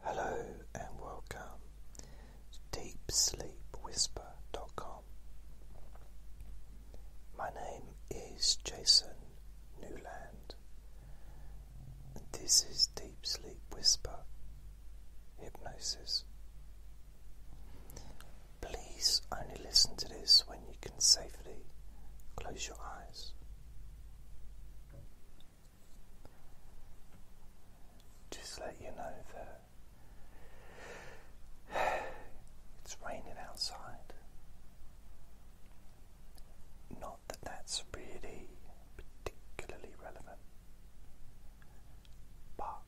Hello and welcome to Deep Sleep DeepSleepWhisper.com. My name is Jason Newland, this is Deep Sleep Whisper Hypnosis. Please only listen to this when you can safely close your eyes. Just let you know that it's raining outside. Not that that's really particularly relevant, but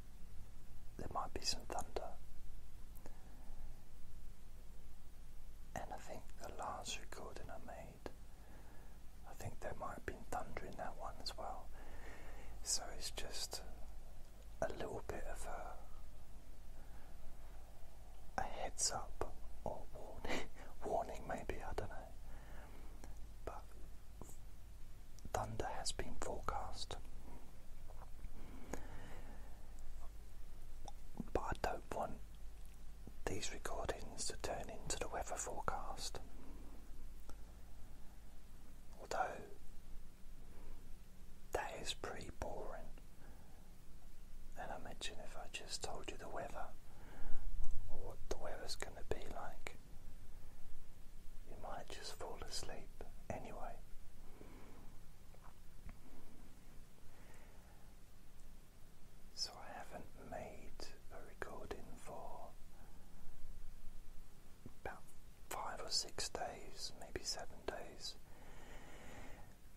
there might be some thunder. And I think the last recording I made. I think there might have been thunder in that one as well. So it's just a little bit of a, a heads up or warning, warning maybe, I don't know. But thunder has been forecast. But I don't want these recordings to turn into the weather forecast. Although that is pretty boring, and I imagine if I just told you the weather or what the weather's going to be like, you might just fall asleep anyway so I haven't made a recording for about five or six days, maybe seven days,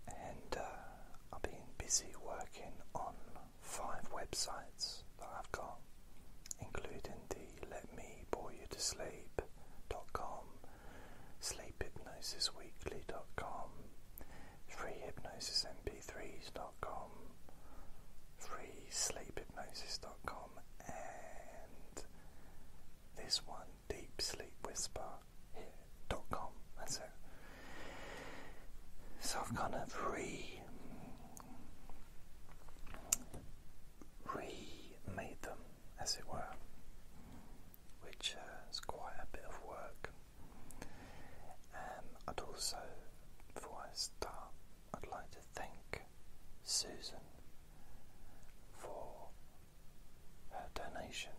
and uh, I've been busy working on five websites that I've got, including the Let Me Bore You to Sleep.com, sleephypnosisweekly.com, freehypnosismp3s.com, freesleephypnosis.com, and this one, deepsleepwhisper.com. That's it. So I've kind of re re-made them, as it were, which uh, is quite a bit of work. Um, I'd also, before I start, I'd like to thank Susan for her donation,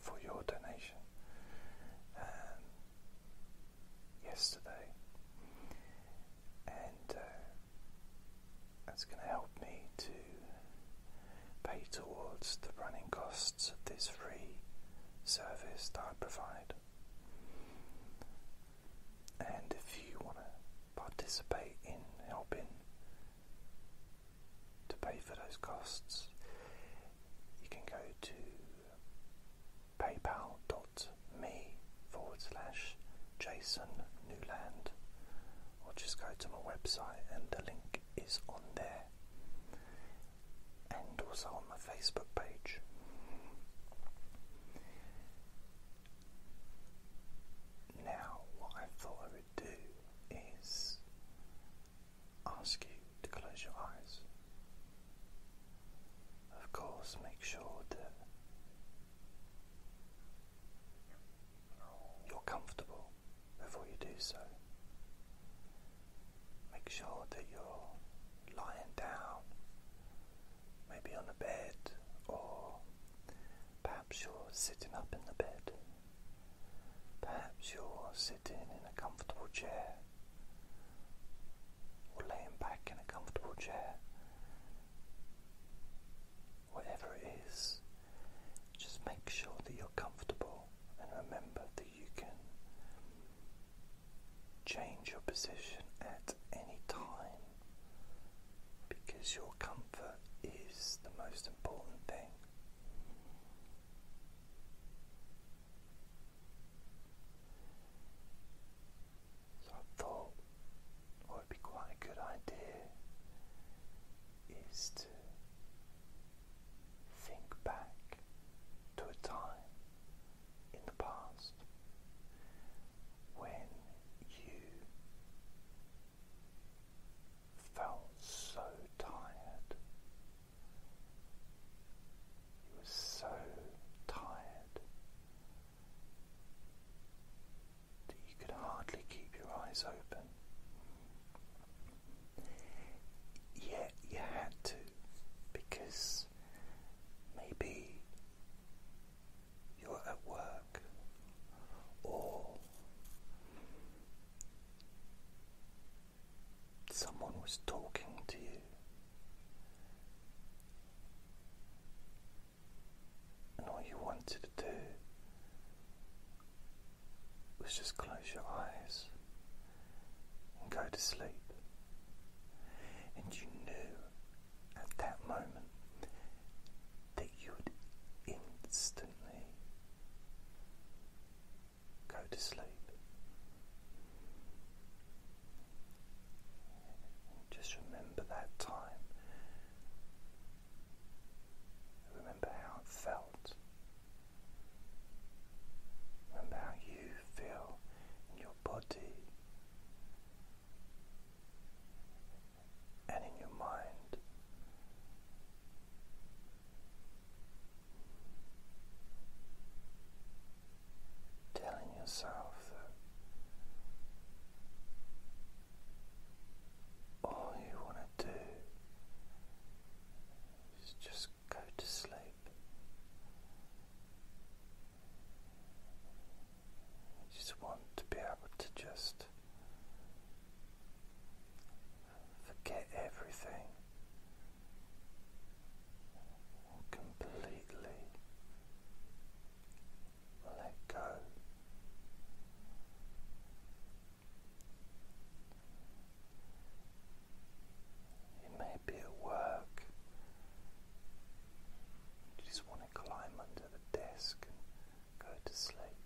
for your donation, um, yesterday, and uh, that's going to help me to pay towards the running costs of this free service that I provide. And if you want to participate in helping to pay for those costs, you can go to paypal.me forward slash Jason Newland or just go to my website and the link is on there and also on my Facebook page. Now, what I thought I would do is ask you to close your eyes. Of course, make sure that you're comfortable before you do so. Make sure that you're lying down, maybe on a bed, or perhaps you're sitting up in the bed. Perhaps you're sitting in a comfortable chair, or laying back in a comfortable chair. Whatever it is, just make sure that you're comfortable and remember that you can change your position at any time because your comfort is the most important thing. So I thought what would be quite a good idea is to think back to a time in the past when you felt so tired. You were so tired that you could hardly keep your eyes open. Yet you had to because Maybe you're at work or someone was talking to you. And all you wanted to do was just close your eyes and go to sleep. And you knew at that moment that you would instantly go to sleep. And just remember that time. Remember how it felt. About you feel in your body and in your mind. Telling yourself that all you want to do is just go to sleep I just want to be able to just forget everything completely let go. It may be at work. You just want to climb under the desk and go to sleep.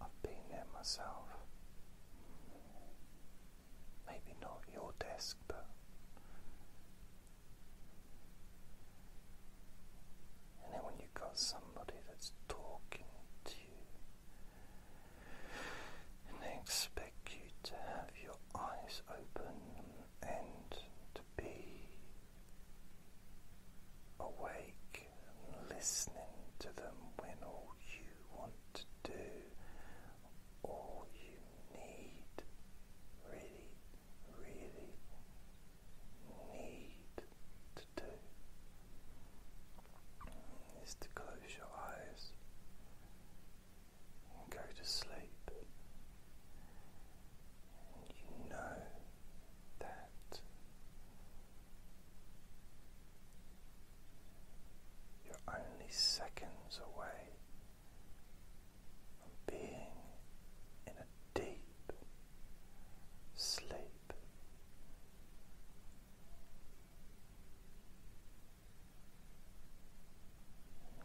I've been there myself. Maybe not your desk, but. And then when you've got somebody that's talking to you, and they expect you to have your eyes open and to be awake and listening to them when all you want to do, all you need, really, really need to do is to close your eyes and go to sleep. And you know that you're only seconds away from being in a deep sleep.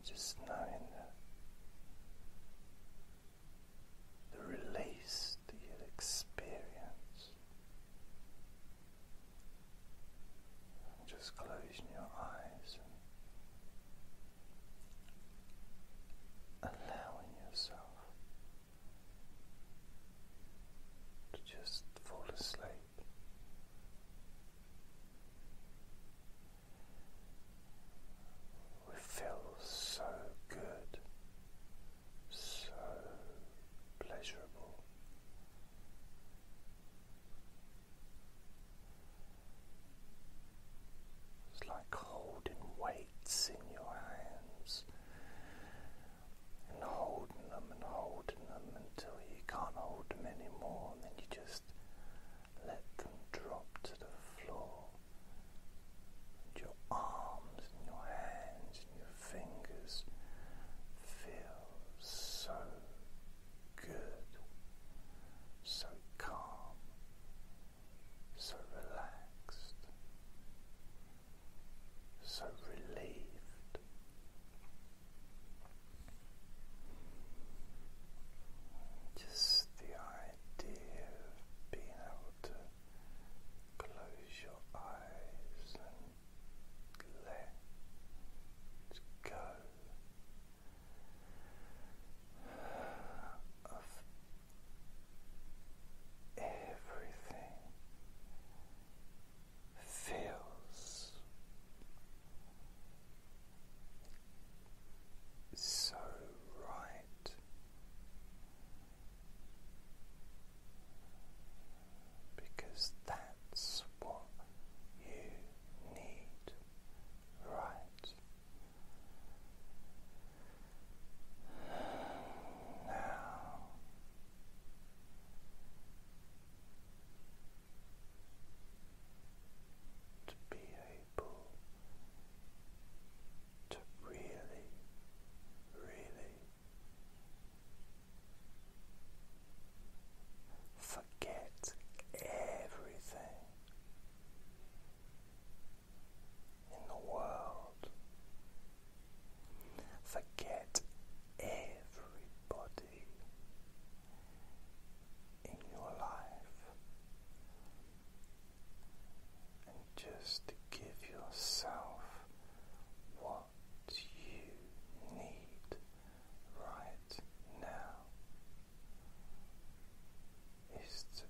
Just knowing that the release that you experience. just closing your eyes and allowing yourself to just fall asleep. We feel so good, so pleasurable. It's like holding weights in your hands and holding them and holding them until you can't hold them anymore, then you just let them drop to the floor. your arms and your hands and your fingers feel so good, so calm, so relaxed, so relieved. Just the idea of being able to close your eyes and let go of everything feels so right because that's what you need right now to be able to really, really forget everything in the world. Forget everybody in your life, and just give yourself what you need right now is to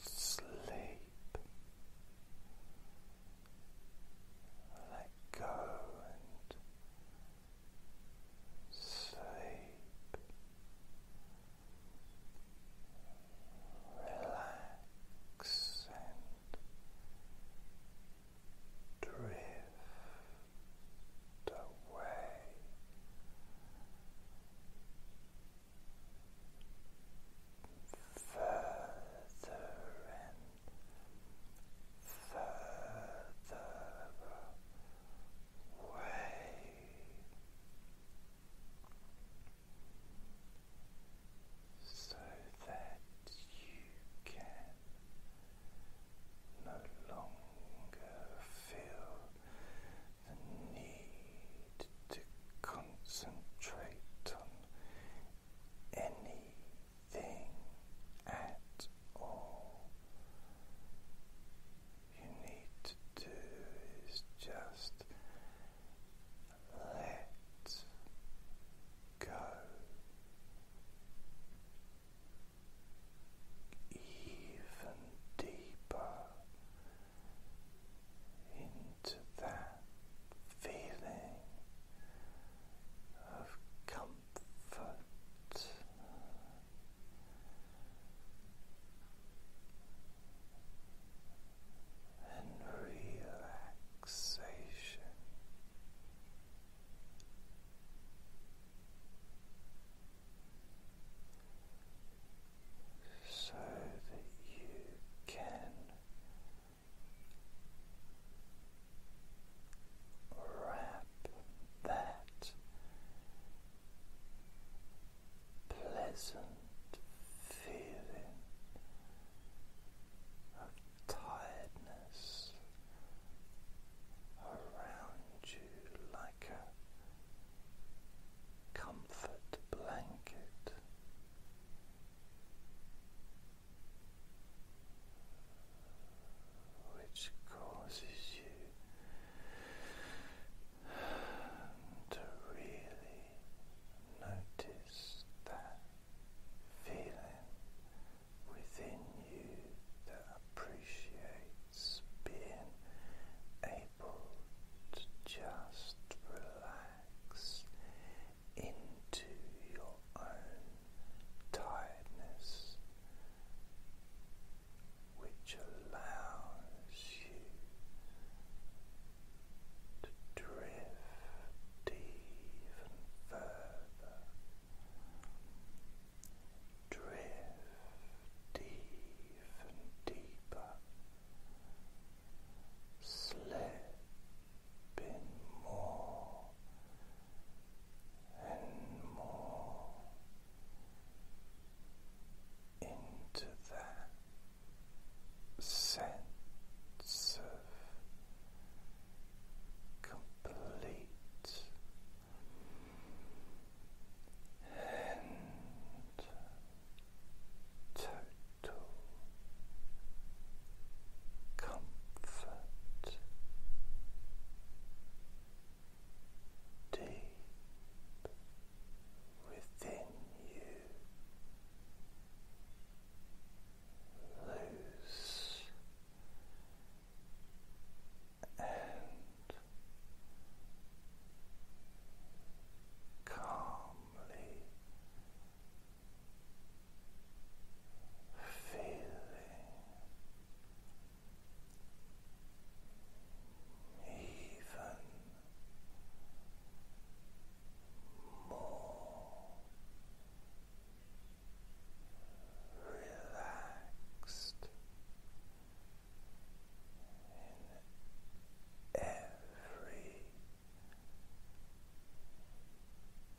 sleep. Let go and sleep, relax and drift away. Further and further away. So that you can no longer feel the need to concentrate on any thing at all. You need to do is just let go even deeper into that feeling of comfort. And relaxation. So that you can wrap that pleasant feeling of tiredness around you like a comfort blanket which causes you to really notice that feeling within you that appreciates being able to just relax into your own tiredness, which allows you to drift even further, drift even deeper, slip in more and more into that sense of complete and total comfort deep within you. Loose and calmly feeling even more relaxed in every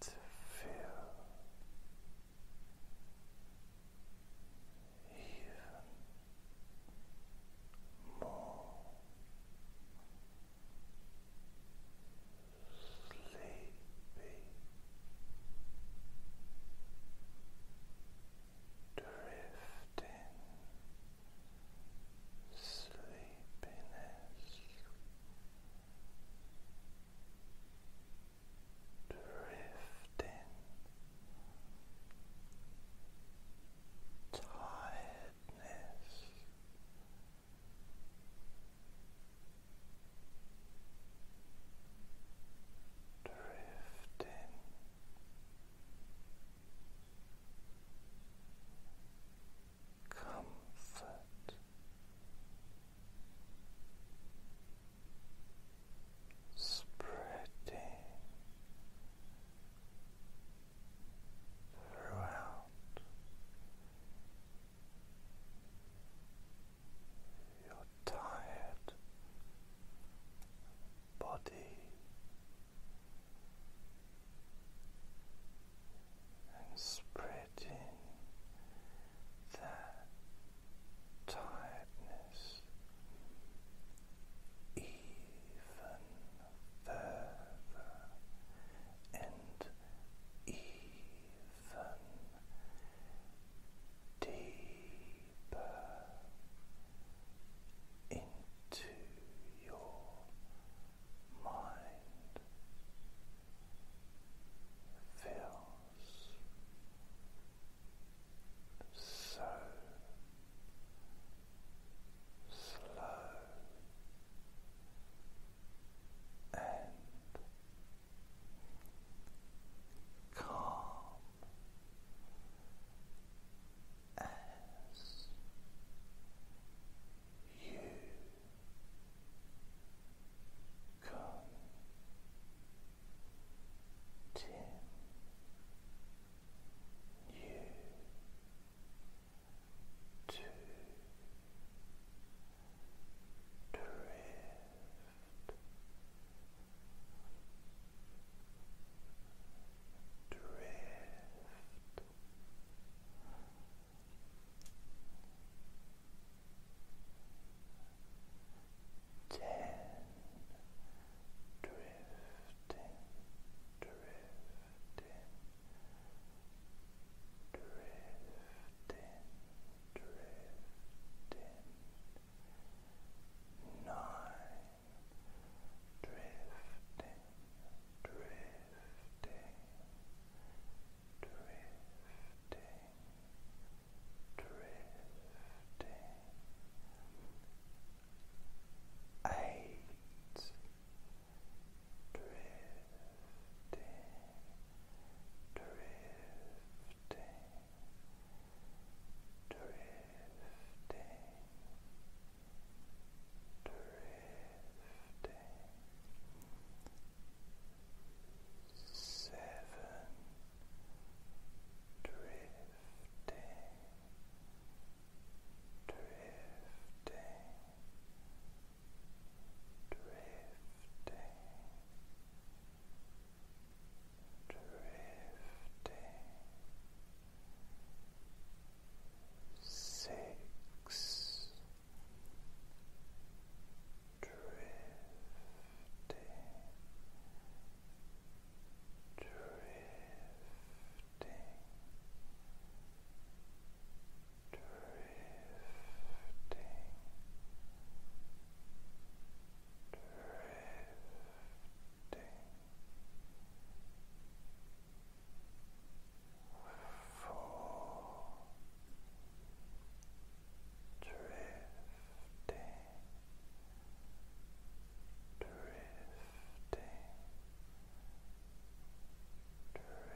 to feel even more sleepy. Drifting sleepiness drifting tiredness drifting comfort, spreading throughout your tired body and spreading that tiredness even further and even deeper into your mind feels so slow and calm as you continue to drift drift ten drifting drifting drifting drifting nine drifting drifting drifting, drifting, eight, drifting, drifting, drifting. Drifting, seven drifting drifting drifting drifting six drifting, drifting, drifting. Drifting full drifting, drifting, drifting. Drifting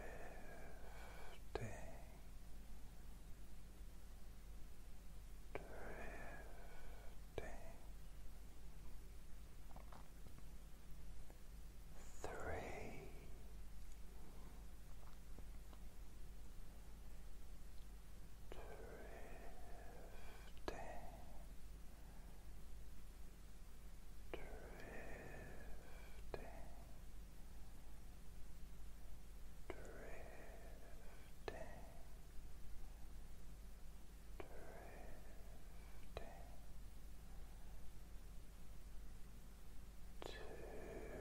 three, drifting, drifting, drifting. Drifting, two, drifting. Drifting. Drifting.